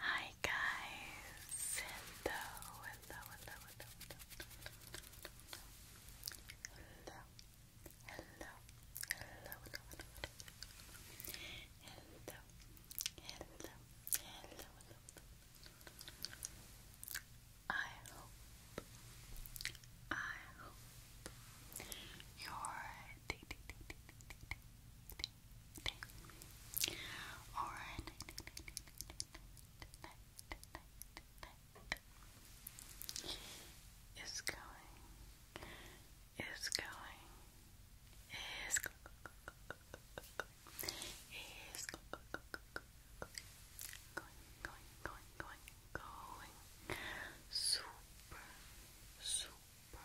Hi guys, hello, hello, hello, hello, hello, hello, hello, hello, I hope, I hope your day, all right. Is going, is going, is going, going, going, going, going, going, super, super super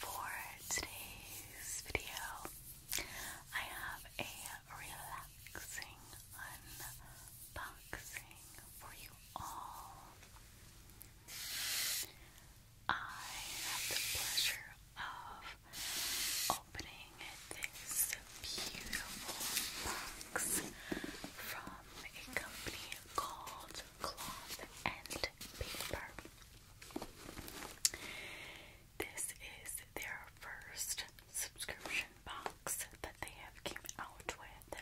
For today's video, I have a relaxing unboxing for you all. I have the pleasure of opening this beautiful box from a company called Cloth and Paper. This is their first subscription box that they have came out with,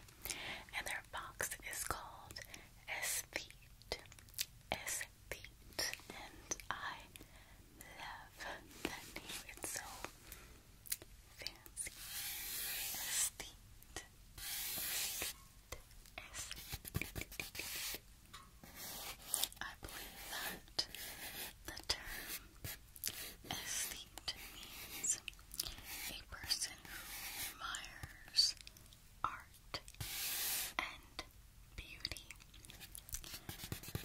and their box is called Esthete. Esthete, and I love that name. It's so fancy estate estate I believe that the term estate means a person who admires art and beauty.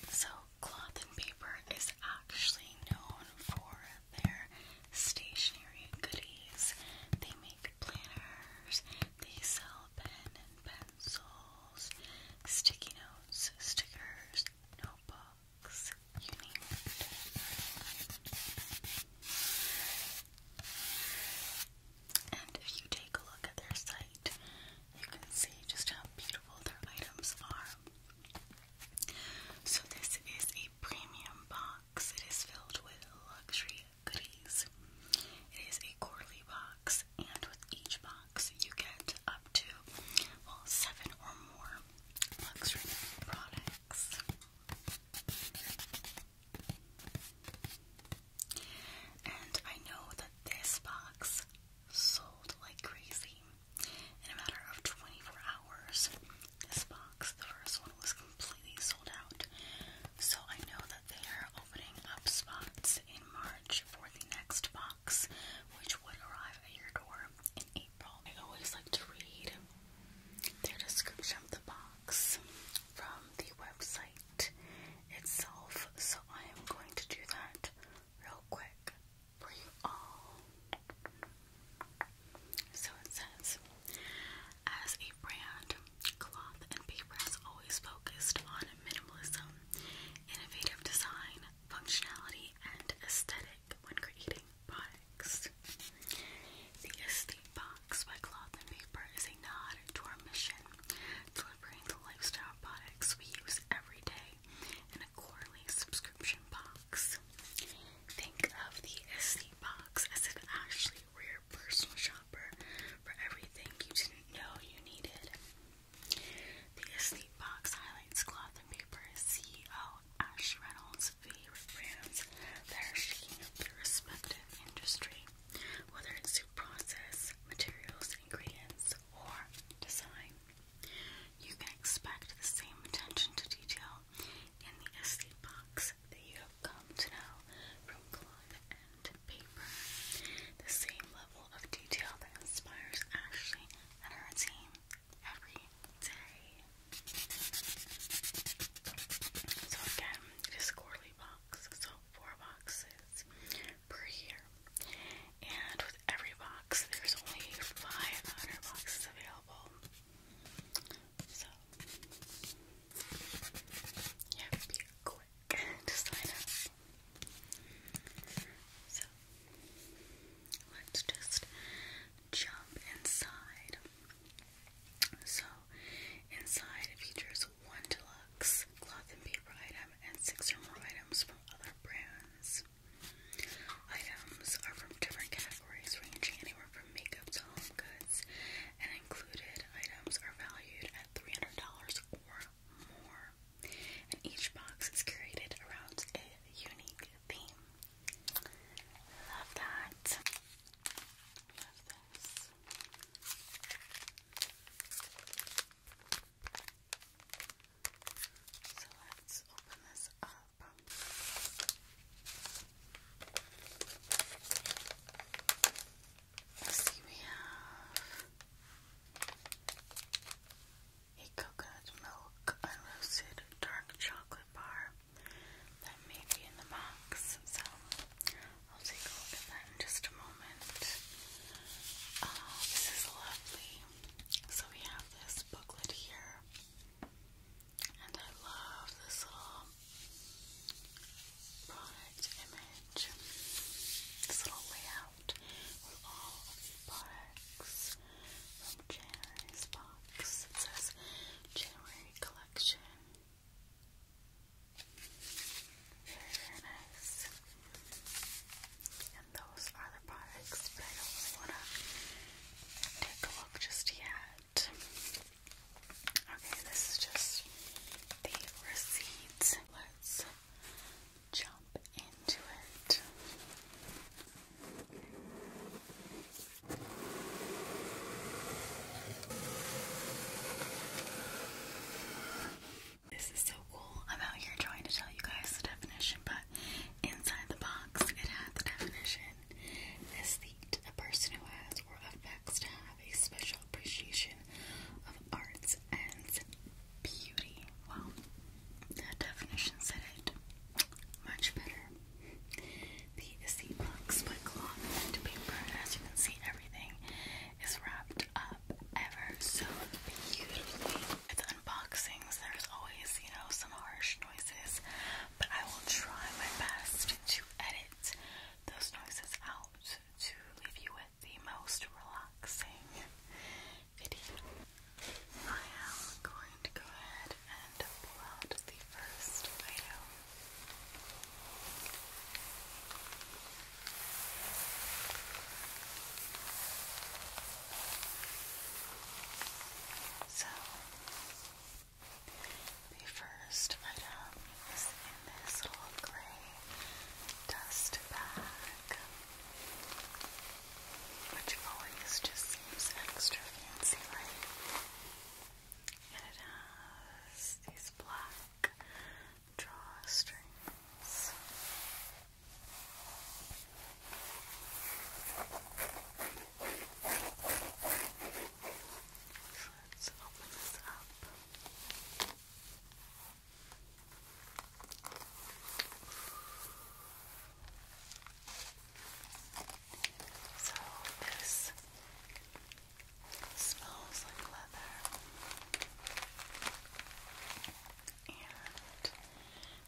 So cloth and paper is actually known for their stationery goodies. They make planners, they sell pens and pencils, sticky notes, stickers, notebooks, you name it. And if you take a look at their site, you can see just how beautiful their items are. So, this is a premium box. It is filled with luxury goodies. It is a quarterly box, and with each box, you get up to, well, seven or more luxury products. And I know that this box sold like crazy. In a matter of 24 hours, this box, the first one, was completely sold out. So I know that they are opening up spots in March for the next box, which would arrive at your door in April. I always like to read their description of the box from the website itself, so I am going to do that real quick for you all. So it says, as a brand, Cloth and Paper has always focused on minimalism, innovative design, functionality, and aesthetic when creating products. The Estate Box by Cloth and Paper is a nod to our mission, delivering the lifestyle products we use every day in a quarterly subscription Think of the SD box as an actually rare personal shopper for everything you didn't know you needed. The SD box highlights cloth and paper CEO Ash Reynolds' favorite brands that are shaking up the respective industry, whether it's through process, materials, ingredients, or design. You can expect the same attention to detail in the escape box that you have come to know from cloth and paper. The same level of detail that inspires Ashley and her team every day. So again, it is quarterly box, so four boxes per year. And with every box, there's only 500 boxes available. So, yeah, be quick to sign up. So, let's just jump inside. So, inside features one deluxe cloth and paper item and six or more items from other brands. Items are from different categories, ranging anywhere from makeup to home goods, and included items are valued at $300 or more. And each box is curated around a unique theme. Love that. Love this. So let's open this up see, we have a coconut milk unroasted dark chocolate bar that may be in the box, so I'll take a look at that in just a moment. Uh, this is lovely. So we have this booklet here. And I love this little product image, this little layout with all of the products from January's box. It says January Collection. Very, nice. And those are the products I don't want take a look just yet. Okay, this is just the receipts. Let's jump into it. This is so cool. I'm out here trying to tell you guys the definition, but inside the box it had the definition Aesthete, a person who has or affects to have a special appreciation of arts and beauty. Well, that definition said it much better. The aesthete box by cloth and paper, as you can see, everything is wrapped up ever so beautifully. With unboxings, there's always, you know, some harsh noises but I will try my best to edit those noises out to leave you with the most relaxing video. I am going to go ahead and upload the first video. So, the first item is in this little gray dust bag, which always just seems extra fancy like. And it has these black drawstrings. So let's open this up. smells like leather, and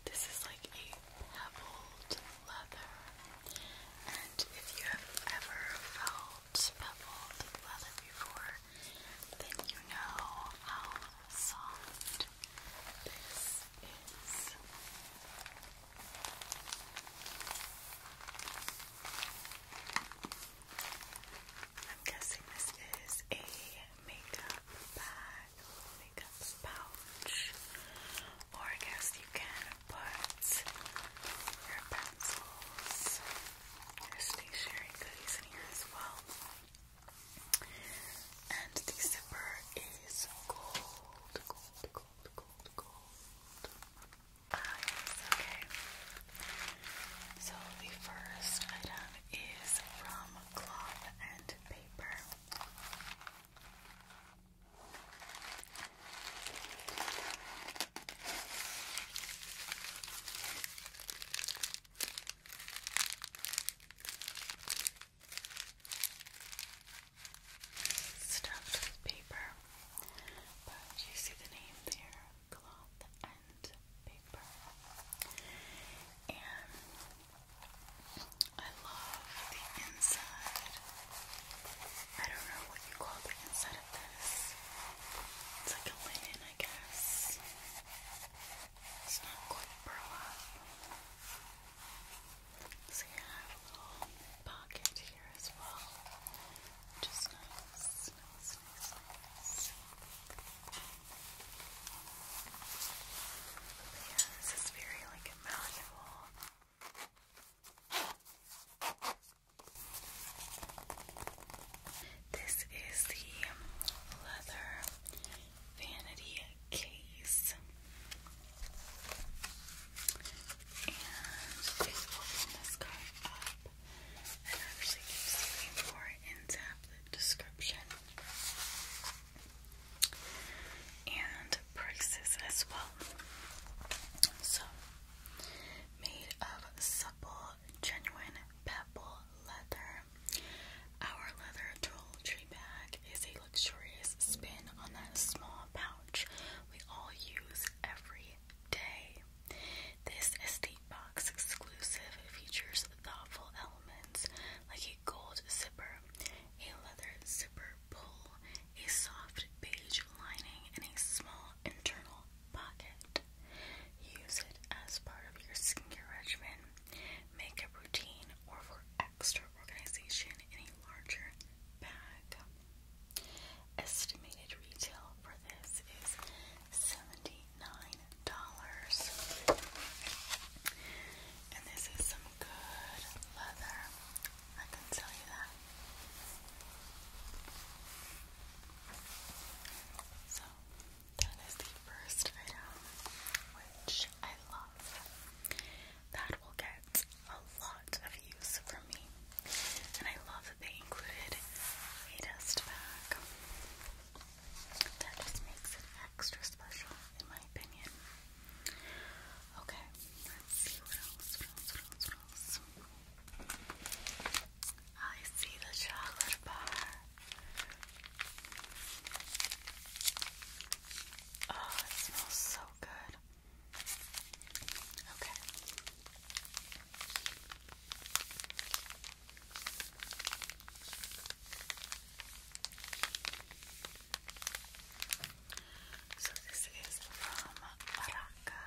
this is like a pebbled leather. And if you have ever felt beveled leather before, then you know how soft this is. I'm guessing this is a makeup bag, makeup pouch or I guess you can put your pencils, your stationery goodies in here as well. And the zipper is gold, gold, gold, gold, gold. Ah, yes, okay. So the first item is from cloth and paper. Stuffed with paper, but you see the name there cloth and paper. And I love the inside. I don't know what you call the inside of this. It's like a linen, I guess. It's not quite burlap. So you have a little pocket here as well, which nice. yeah, this is very like malleable. This is the leather vanity case, and this guy up and actually you a more in depth description and prices as well. So, made of supple, genuine pebble leather. Our leather toiletry bag is a luxurious spin on that small pouch we all use every day. This estate box exclusive features thoughtful elements like a gold zipper, a leather zipper pull, a soft beige lining, and a small internal pocket. Use it as part of your skincare regimen, makeup routine, or for extra organization in a larger bag. Estimated retail for this is $79. And this is some good leather, I can tell you that. So, that is the first item, which I love. That will get a lot of use from me. And I love that they included a dust bag. That just makes it extra special, in my opinion. Okay, let's see what else, I see the chocolate bar. Oh, it smells so good. Okay. So this is from Araca,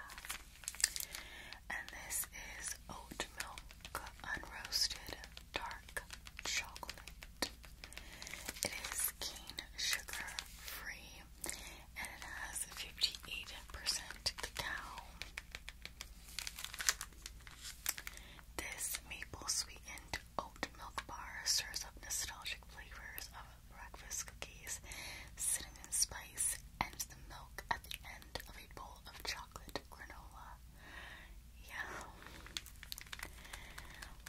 And this is oat milk unroasted dark chocolate. It is cane sugar free and it has 58% cacao. This maple sweetened oat milk bar serves up nostalgic flavors of breakfast cookies, cinnamon spice, and the milk at the end of a bowl of chocolate granola. Yeah.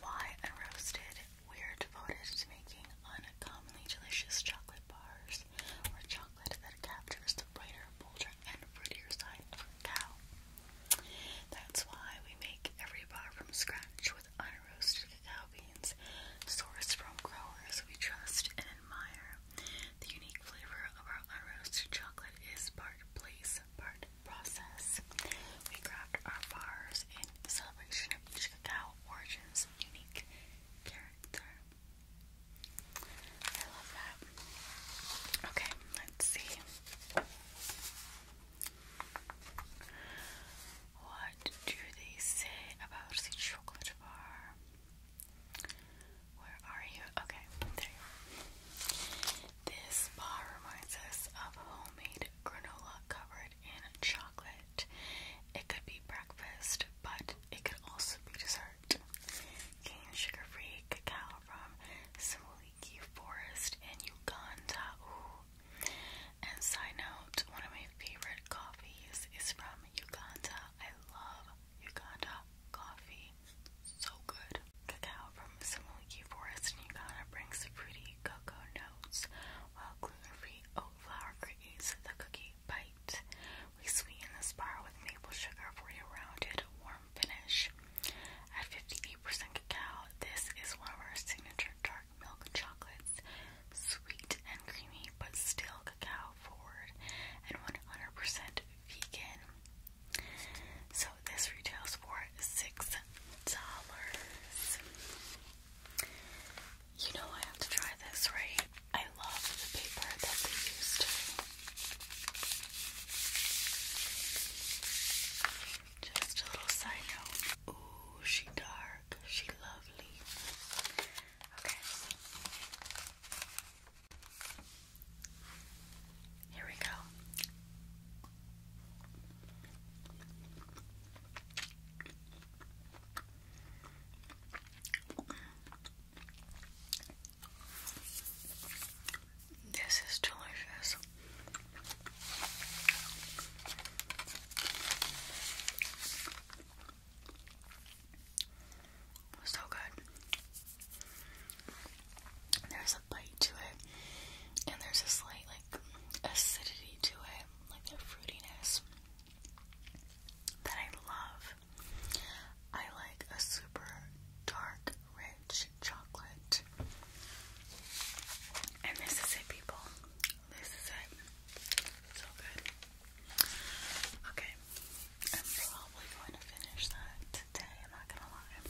Why Unroasted? We're devoted to making uncommonly delicious chocolate bars or chocolate that captures the brighter, bolder, and fruitier side of a cow. That's why we make every bar from scratch with with unroasted cacao beans sourced from growers we trust and admire. The unique flavor of our unroasted chocolate is part place, part process. We craft our bars in celebration of each cacao origin's unique character. I love that. Okay, let's see. What do they say about the chocolate bar? Where are you? Okay, there you are. This bar reminds us of homemade granola covered in chocolate. It could be breakfast, but it could also be dessert. Cane sugar free cacao from Similiki Forest in Uganda. Ooh, and side note, one of my favorite coffees is from Uganda. I love Uganda coffee. So good. Cacao from Simuliki Forest in Uganda brings pretty cocoa notes, while gluten-free oat flour creates the cookie bite. We sweeten this bar with maple sugar for a rounded, warm finish. At 58% cacao, this is one of our signature dark dark milk chocolates, sweet and creamy but still cacao forward, and 100% vegan. So this retails for $6. You know I have to try this, right? I love the paper that they used. Just a little side note. Ooh, she dark. She lovely. Okay. Here we go. This is delicious. So good. There's a bite to it, and there's a slight like acidity to it, like the fruitiness that I love. I like a super dark, rich chocolate, and this is it, people. This is it. So good. Okay, I'm probably going to finish that today, I'm not gonna lie.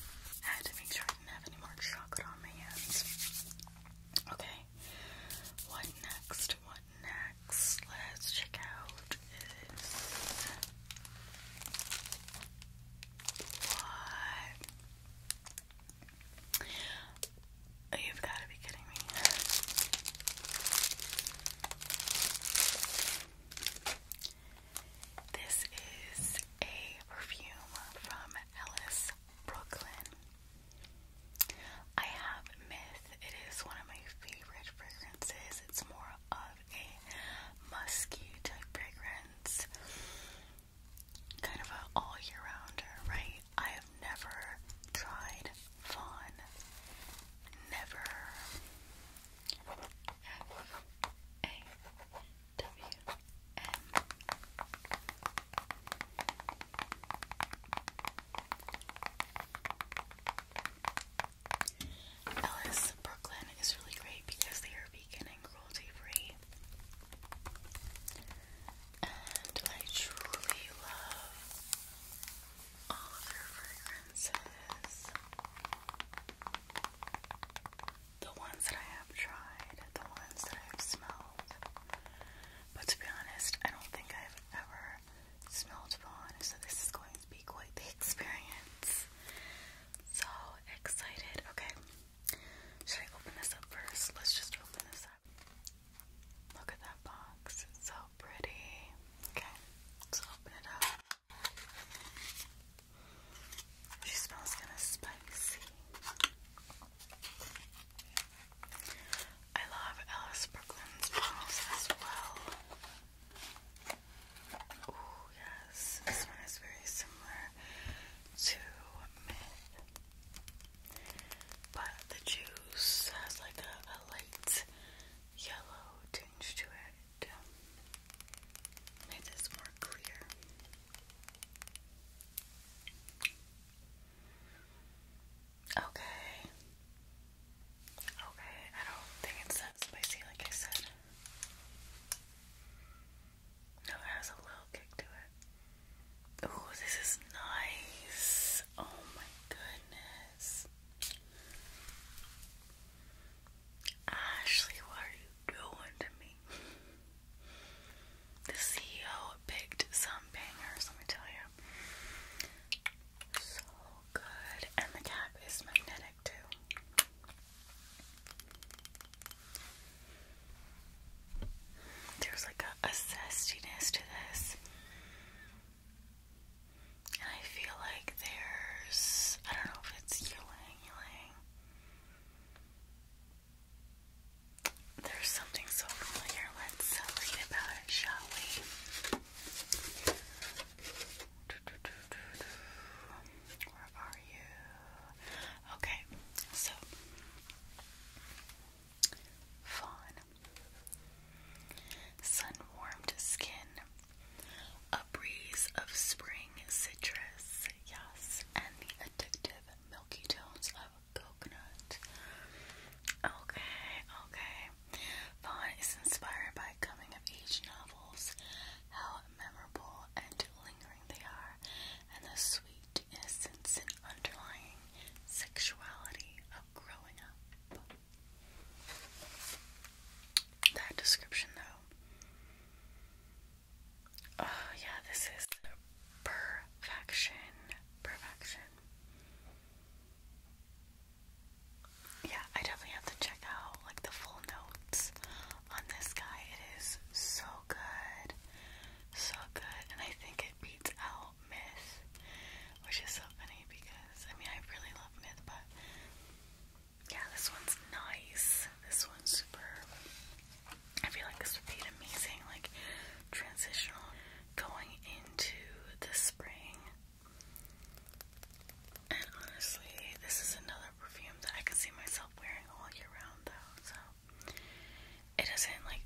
had to make sure I didn't have any more chocolate on my hands. Okay, what next? What next? Let's check out is what Oh, you've got to be kidding me. This is a perfume from Ellis Brooklyn. I have Myth. It is one of my favorite fragrances. It's more of a musky type fragrance. Kind of an all year rounder, right? I have never tried fawn. Never. A W N. Ellis, Brooklyn is really great because they are vegan and cruelty free and I truly love all of their fragrances. The ones that I have tried, the ones that I've smelled. But to be honest, I don't think I've ever smelled Vaughn, so this is going to be quite the experience. So excited. Okay. Should I open this up first? Let's just open this up. Look at that box. It's so pretty. Okay, let's open it up. She smells kind of spicy. I love Alice Brooklyn's bottles as well. Oh, yes. This one is very similar to Myth. But the juice has like a, light yellow tinge to it. Make this more clear. Okay. Okay, I don't think it's that spicy like I said. No, it has a little kick to it. Oh, this is nice. Oh my goodness. Ashley, what are you doing to me? The CEO picked some bangers, let me tell you. So good. And the cap is magnetic too. There's like a, a zestiness to this. And I feel like there's, I don't know if it's ylang ylang. There's something so familiar. Let's uh, read about it, shall we? Where are you? Okay, so fawn Sun warmed skin, a breeze of spring citrus, yes, and the addictive milky tones of coconut. Okay, okay. Vaughn is inspired by coming of age novels, how memorable and lingering they are, and the sweet innocence and underlying sexuality of growing up. That description, though. Oh, yeah, this is perfection. Perfection. Yeah, I definitely have to check out like the full notes on this guy. It is so good. So good. And I think it beats out myth, which is so funny because I mean I really love myth, but yeah, this one's nice. This one's super. I feel like this would be amazing like transitional going into the spring. And honestly, this is another perfume that I can see myself wearing all year round though. So it doesn't like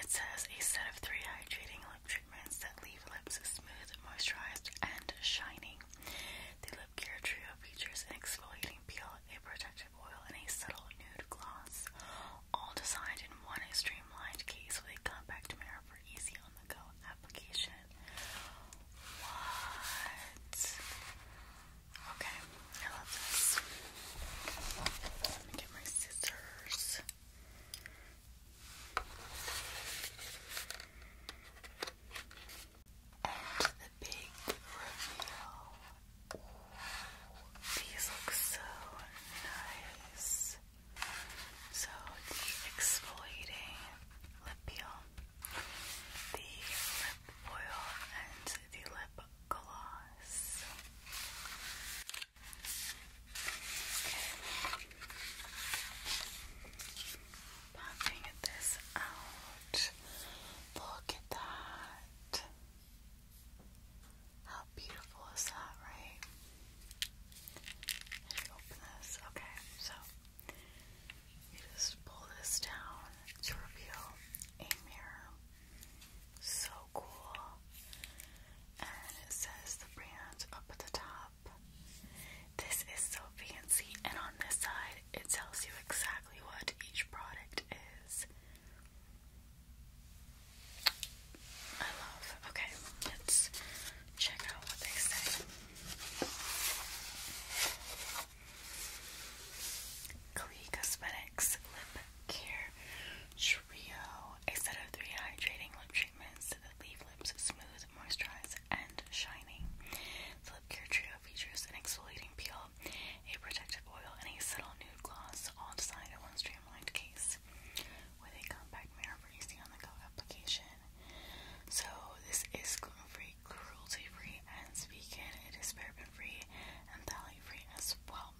it says a set of three hydrating lip treatments that leave lips smooth, moisturized, and shining. The lip care trio features an exfoliating peel, a protective oil, and a subtle nude gloss, all designed in one streamlined case with a compact mirror for easy on-the-go application. What? Okay. I love this. Let me get my scissors. And the big reveal. these look so nice. So the exfoliating lip peel, the lip oil, and the lip gloss. Popping this out. Look at that. How beautiful is that, right? Let me open this. Okay, so you just pull this down to reveal a mirror. So cool. And it says the brand up at the top. This is so fancy, and on this side, it tells you exactly what each product is. I love. Okay, let's check out what they say. Klee Cosmetics Lip Care Trio a set of three hydrating lip treatments that leave lips smooth, moisturized, and shining. The Lip Care Trio features an exfoliating peel, a protective oil, and a subtle nude gloss, all designed in one streamlined case with a compact mirror for easy on the go application. So, this is gluten free, cruelty free, and vegan. It is paraben free and phthalate free as well.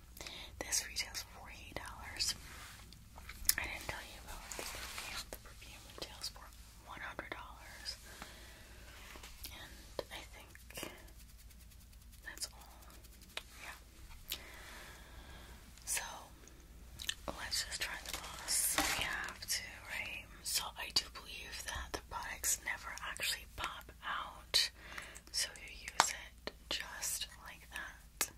This retails for $48. I didn't tell you about the perfume. The perfume retails for $100. And I think that's all. Yeah. So, let's just try the gloss. We have to, right? So, I do believe that the products never actually pop out. So, you use it just like that.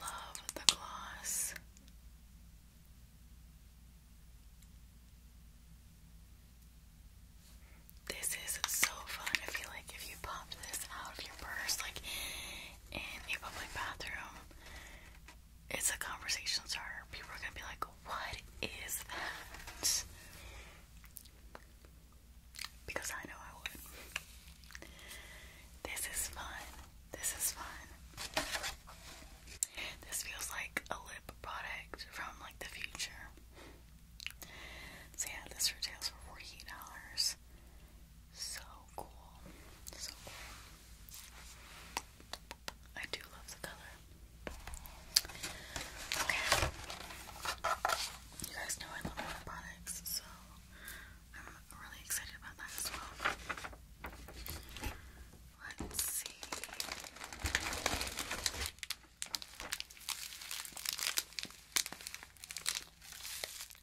Love the gloss. This is so fun. I feel like if you pop this out of your purse, like in a public bathroom, it's a conversation starter. People are gonna be like, What is that? Because I know I would. This is fun. This is fun. This feels like a lip product from like the future. So yeah, this retails for $48. So cool. So cool. I do love the color. Okay. You guys know I love my products, so I'm really excited about that as well. Let's see.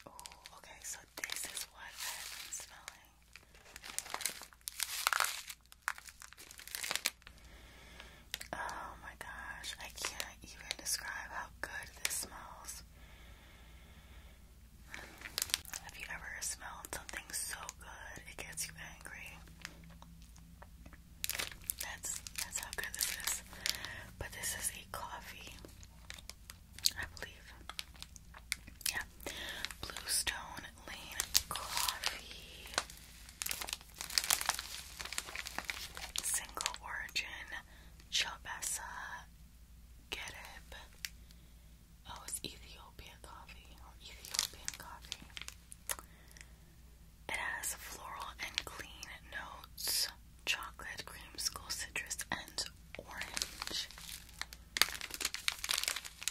Oh, okay, so this is what I have been smelling. Oh my gosh, I can't even describe how good this smells. Have you ever smelled something so good it gets you angry? That's that's how good this is. But this is a coffee. I believe. Yeah. Bluestone Lane Coffee. Single Origin. Chobessa. Gedib. Oh, it's Ethiopian coffee. Oh, Ethiopian coffee. It has floral and clean notes chocolate, cream, school, citrus, and orange.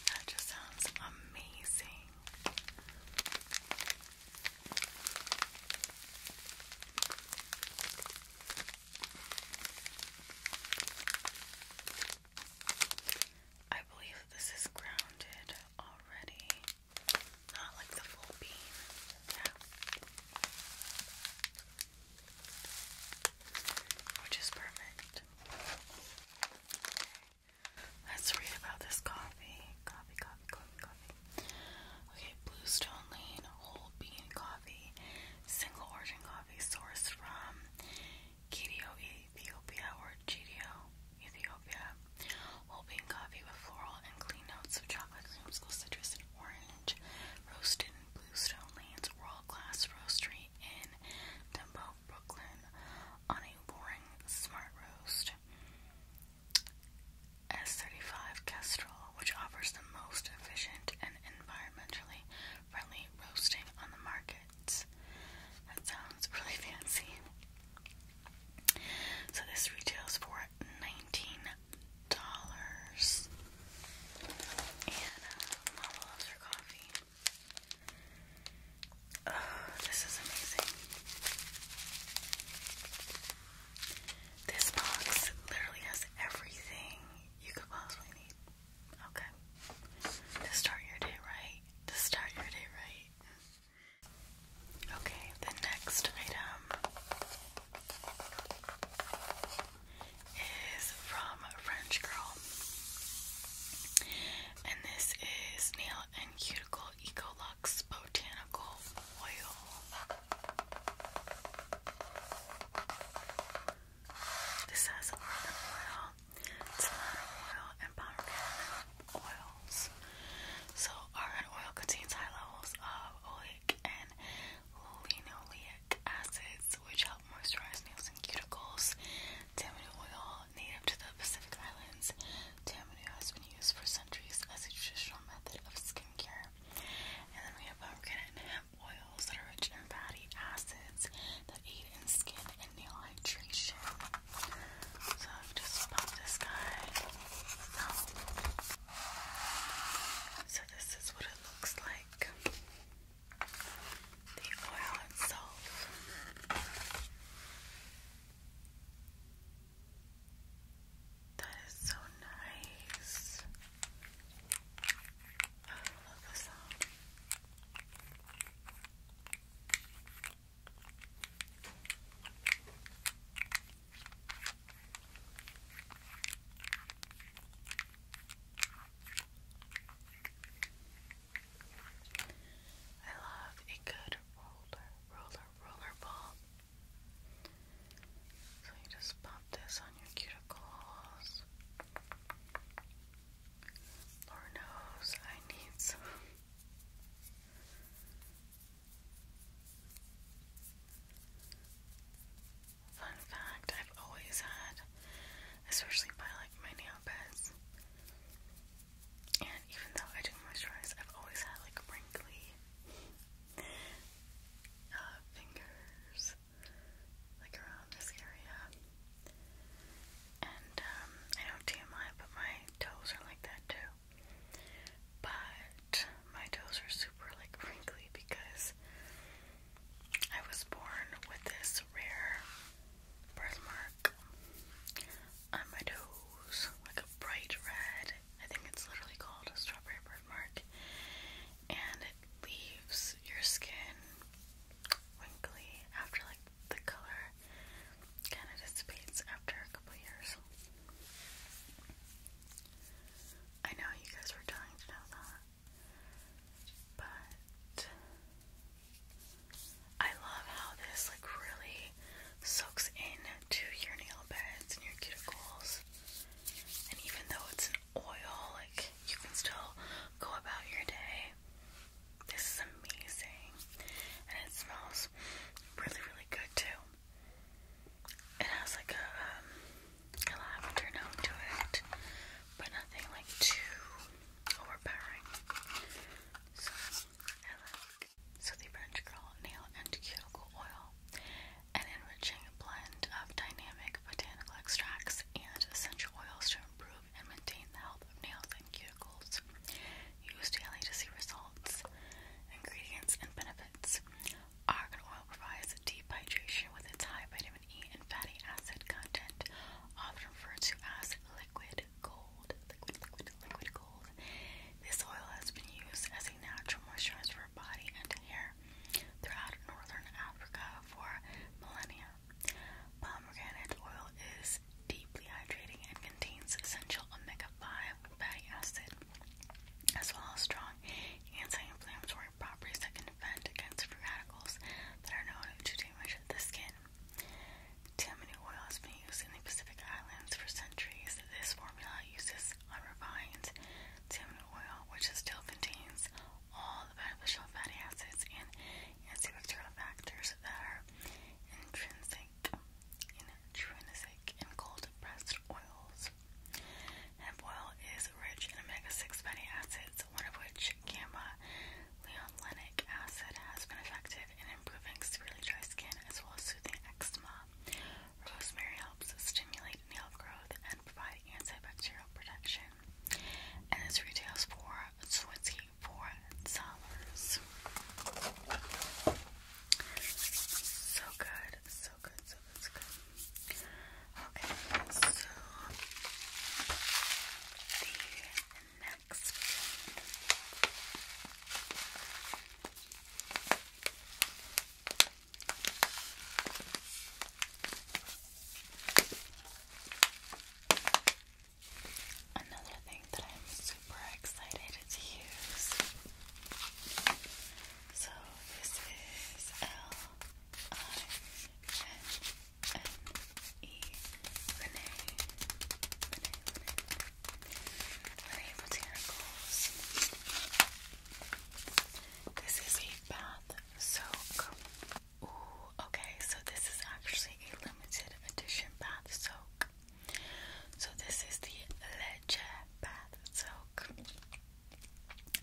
That just sounds amazing. I believe this is grounded already. Not like the full bean. Yeah which is perfect. Let's read about this coffee. Coffee, coffee, coffee, coffee. Okay, Bluestone Lane whole bean coffee, single origin coffee sourced from Ethiopia, or Gidio, Ethiopia. Whole bean coffee with floral and clean notes of chocolate, creamsicle, citrus, and orange roasted in Stone Land's world-class roastery in Dumbo, Brooklyn, on a boring smart roast S35 Kestrel, which offers the most efficient and environmentally friendly roasting on the market. That sounds really fancy. So this retails for 19 dollars dollars. And uh, Mama coffee. Oh, this is amazing. This box literally has everything you could possibly need. Okay. To start your day right. To start your day right. Okay, the next item is from French Girl. And this is Nail and Cuticle Ecolux Botanical Oil. This has almond oil, cilantro oil, and pomegranate oils. So, almond oil contains high levels of oleic and linoleic acids, which help moisturize nails and cuticles. Tamanu oil, native to the Pacific Islands, Tamanu has been used for centuries as a traditional method of skincare. And then we have pumpkin hemp oils that are rich in fatty acids that aid in skin and nail hydration. So I've just pop this guy So this is what it looks like the oil itself. That is so nice. I love the sound. I love a good roller, roller, roller ball. So you just pop this on your cuticles. Lord knows I need some. Fun fact, I've always had, especially by like my nail beds, and even though I do moisturize, I've always had like wrinkly uh, fingers, like around this area. And um, I know TMI, but my toes are like that too. But my toes are super like wrinkly because I was born with this rare birthmark on my toes, like a bright red. I think it's literally called a strawberry birthmark, and it leaves your skin wrinkly after like the color kind of dissipates after a couple years. I know you guys were dying to know that. But I love how this like really soaks into your nail beds and your cuticles. And even though it's an oil, like you can still go about your day. This is amazing. And it smells really, really good too. It has like a um, lavender note to it, but nothing like too overpowering. So I like so the French Girl Nail and Cuticle Oil, an enriching blend of dynamic botanical extracts and essential oils to improve and maintain the health of nails and cuticles. Use daily to see results. Ingredients and benefits: Argan oil provides deep hydration with its high vitamin E and fatty acid content, often referred to as liquid gold. Liquid, liquid, liquid gold. This oil has been used as a natural moisturizer for body and hair throughout northern Africa for millennia. Pomegranate oil is deeply hydrating and contains essential omega-5 fatty acid, as well as strong anti-inflammatory properties that can defend against free radicals that are known to damage the skin. Tammany oil has been used in the Pacific Islands for centuries. This formula uses unrefined tammany oil, which still contains all the beneficial fatty acids and antibacterial factors that are intrinsic in cold pressed oils. Hemp oil is rich in omega-6 fatty acids, one of which, gamma-leonlenic acid, has been effective in improving severely dry skin as well as soothing eczema. Rosemary helps stimulate nail growth and provide antibacterial protection. And this retails for twenty-four dollars. So so good, so good, so good. Okay, so the next Another thing that I'm super excited to use. So this is L I N this is a bath soak Ooh, okay, so this is actually a limited edition bath soak So this is the Leche bath soak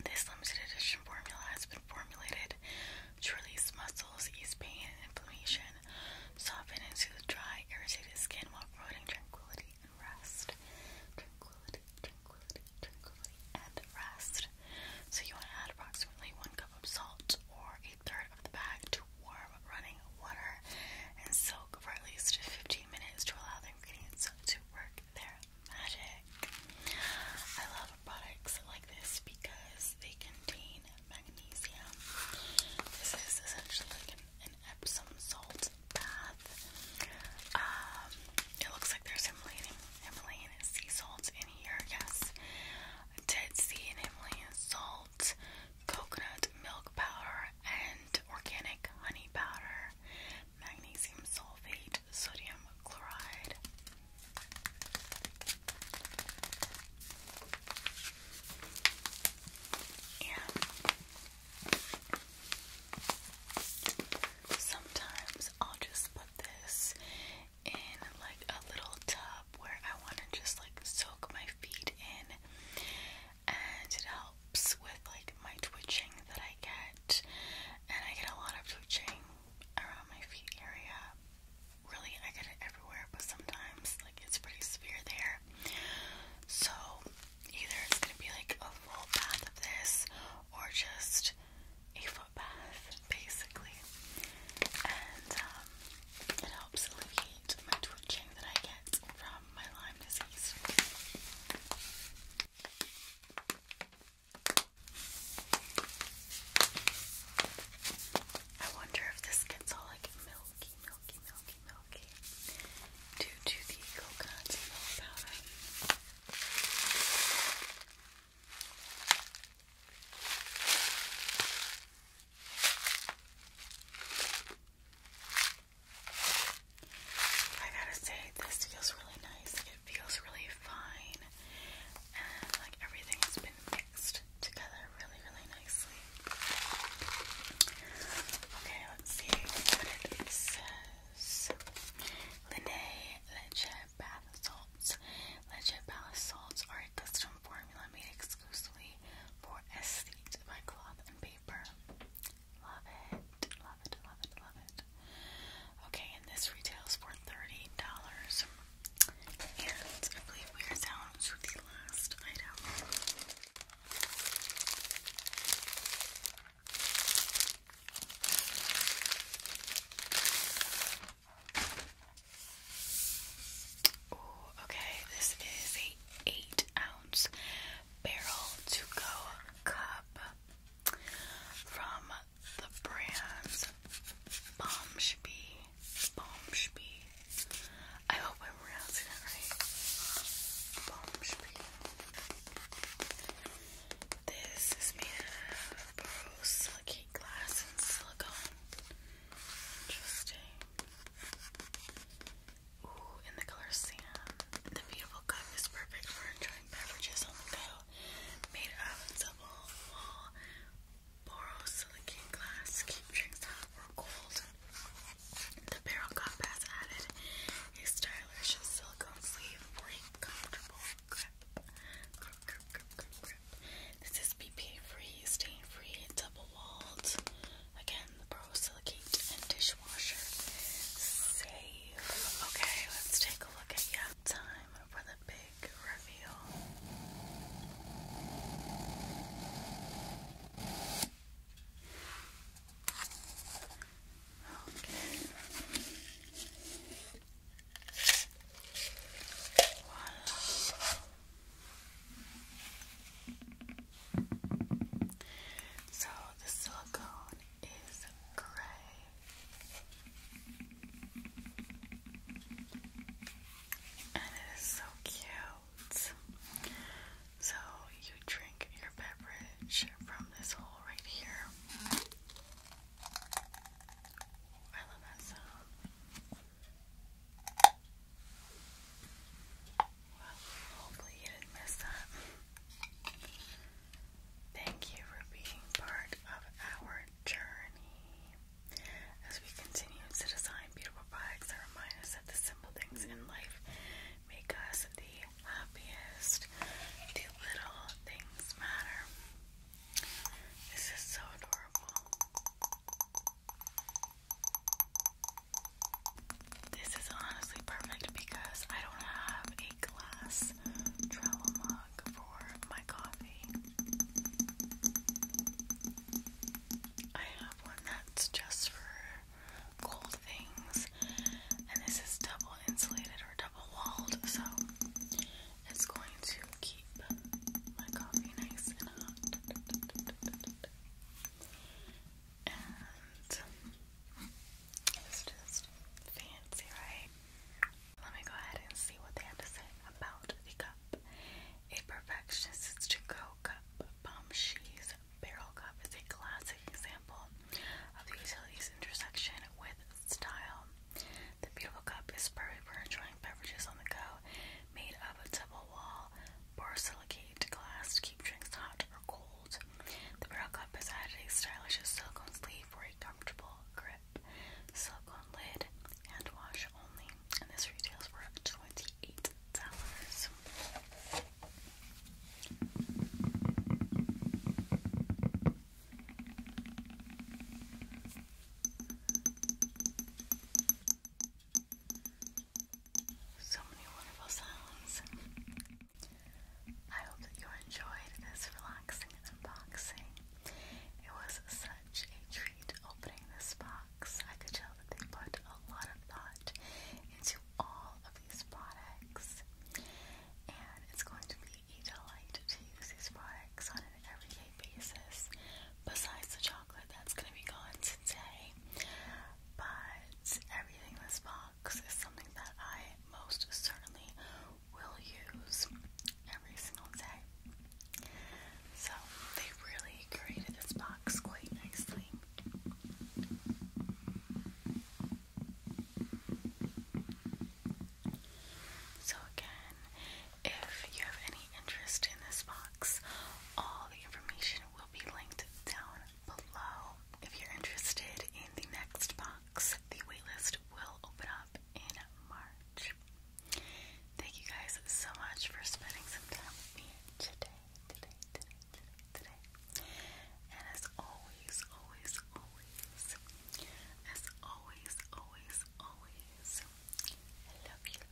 this limited edition formula has been formulated to release muscles, ease pain and inflammation, soften and soothe dry, irritated skin while promoting tranquility and rest. Tranquility, tranquility, tranquility, and rest. So you want to add approximately one cup of salt or a third of the bag to warm running water and soak for at least 15 minutes to allow the ingredients to work there magic. I love products like this because they contain magnesium. This is essentially like an, Epsom salt bath. Um, it looks like there's Himalayan, Himalayan sea salt in here. Yes, Dead Sea and Himalayan salt, coconut milk powder, and organic honey powder, magnesium sulfate, sodium chloride. And sometimes I'll just put this in like a little tub where I want to just like soak my feet in, and it helps with like my twitching that I get. And I get a lot of twitching around my feet area. Really, I get it everywhere, but sometimes like it's pretty severe there. So either it's gonna be like a full bath of this or just a foot bath, basically. And um, it helps alleviate my twitching that I get from my Lyme disease. I wonder if this gets all like milky, milky, milky, milky due to the coconut milk powder. I gotta say, this feels really nice it feels really fine and like everything has been mixed together really really nicely. Okay, let's see what it says. Lene Bath Salts. Leche Bath Salts are a custom formula made exclusively for Esthete by Cloth and Paper. Love it, love it, love it, love it. Okay, and this retails for $30. And I believe we are down to the last item. Ooh, okay, this is a eight ounce barrel to go cup from the brands Bombshbee, Bombshbee. I hope I'm pronouncing that right. Bombshbee. This is made of borosilicate glass and silicone. Interesting. Ooh, in the color sand. The beautiful cup is perfect for enjoying beverages on the go made of double wall borosilicate glass. Keep drinks hot or cold. The barrel compass added a stylish silicone sleeve for a comfortable grip. This is BPA free, stain free, double walled. Again, the borosilicate and dishwasher safe. Okay, let's take a look at you. Time for the big reveal. Okay. So the silicone is gray it is so cute. So you drink your beverage from this hole right here. I love that sound. Well, hopefully you didn't miss that. Thank you for being part of our journey. As we continue to design beautiful products that remind us that the simple things in life make us the happiest, the little things matter. This is so adorable. This is honestly perfect because I don't have a glass travel mug for my coffee. I have one that's just for cold things, and this is double insulated or double walled, so it's going to keep my coffee nice and hot. And it's just fancy, right? Let me go ahead and see what they have to say about the cup. A perfectionist's to-go cup, bomb cheese barrel cup is a classic example of the utility's intersection with style. The beautiful cup is perfect for enjoying beverages on the go, made of a double wall borsilicate glass to keep drinks hot or cold. The barrel cup has added a stylish silicone sleeve for a comfortable grip silicone lid, hand wash only, and this retails for $28. So many wonderful sounds. I hope that you enjoyed this relaxing unboxing. It was such a treat intrigued opening this box. I could tell that they put a lot of thought into all of these products, and it's going to be a delight to use these products on an everyday basis. Besides the chocolate, that's going to be gone today, but everything in this box is something that I most certainly will use every single day. So they really created this box quite nicely. So again, if you have any interest in this box, all the information will be linked down below. If you're interested in the next box, the waitlist will open up in March. Thank you guys so much for spending some time with me today, today, today, today, today. And as always, always, always, as always, always, always, I love you,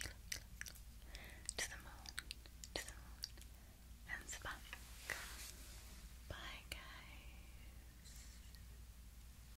To the moon, to the moon, and back. Bye, guys.